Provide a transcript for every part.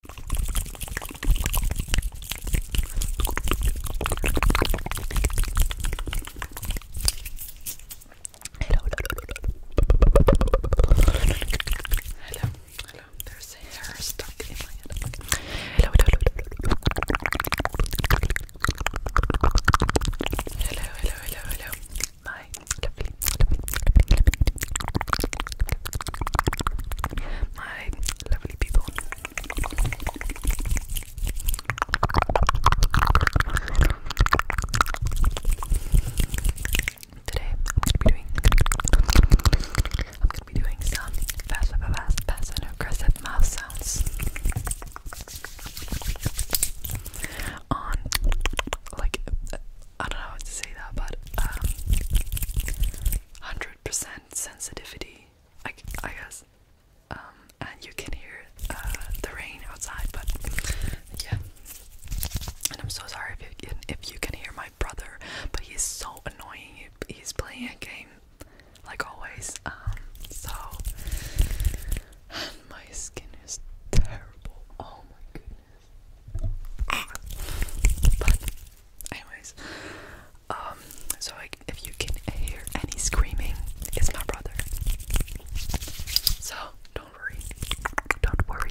Hello, hello, hello. There's a hair stuck in my head. Okay. Hello, hello, hello, hello, hello, hello, hello. My lovely, lovely, lovely, lovely, my lovely people. Today I'm gonna be doing I'm gonna be doing some fast, fast, fast, fast and aggressive mouth sounds on like I don't know how to say that, but 100% um, sensitivity, I, I guess. Um, and you can hear uh, the rain outside, but yeah. And I'm so sorry if you can, if you can hear my brother, but he's so annoying. He's playing a game, like always. Um, so my skin is terrible. Oh my goodness anyways, um, so like if you can hear any screaming, it's my brother. So don't worry, don't worry.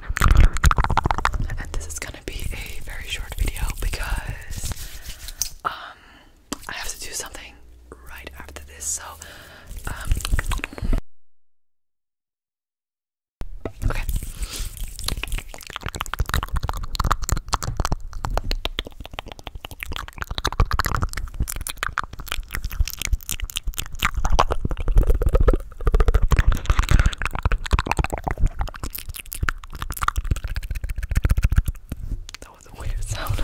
And this is gonna be a very short video because um I have to do something right after this, so um, Okay. That was a weird sound.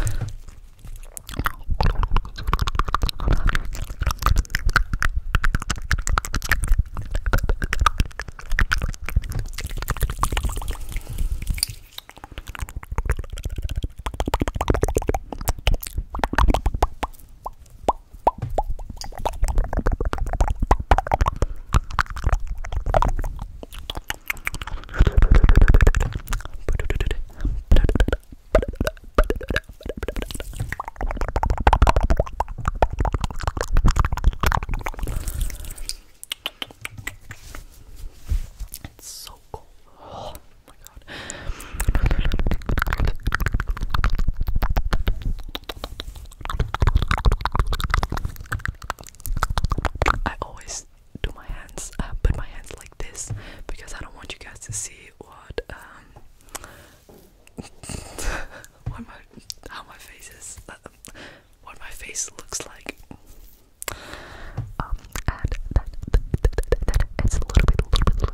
It's so cold. Oh my god. I always do my hands, put my hands like this because I don't want you guys to see what um what my how my face is, what my face looks like. and that, it's a little bit, little bit, little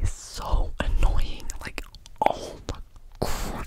He's so annoying. Like, oh my god.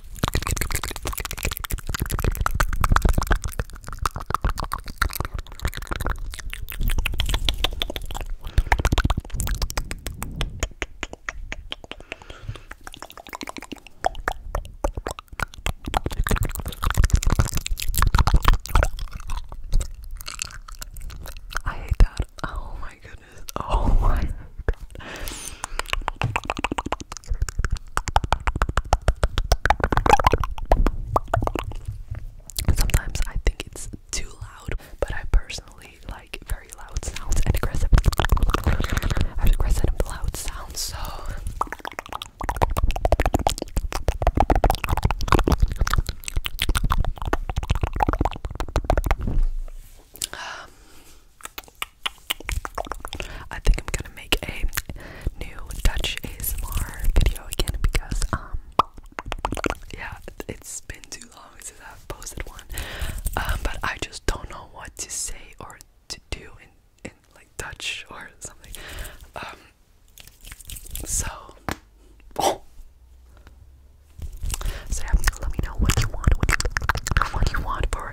I hate that. Oh my goodness. Oh my god. Sometimes I think it's too loud, but I personally like very loud sounds and aggressive, aggressive loud sounds. So. Um, I think I'm gonna make a new Dutch ASMR video again because um yeah it's been too long since I've posted one um but I just don't know what to say or to do in in like Dutch or something um so oh. so yeah let me know what you want what you, what you want for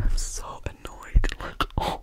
I'm so annoyed. Like, oh.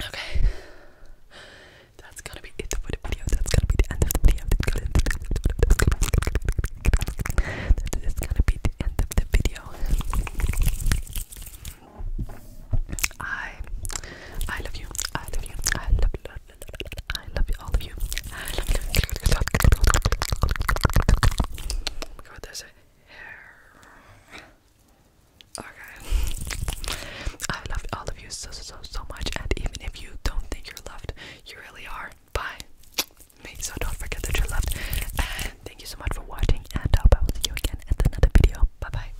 Okay. That's gonna be it for the video. That's gonna be the end of the video. That's gonna be the end of the video. I I love you. I love you. I love you. I love you, all of you. I love you. God, there's a hair. Okay. I love all of you so, so, so, so much. And even if you don't think you're loved, you really are. Bye. So don't forget that you're loved. And thank you so much for watching. And I hope I will see you again in another video. Bye bye.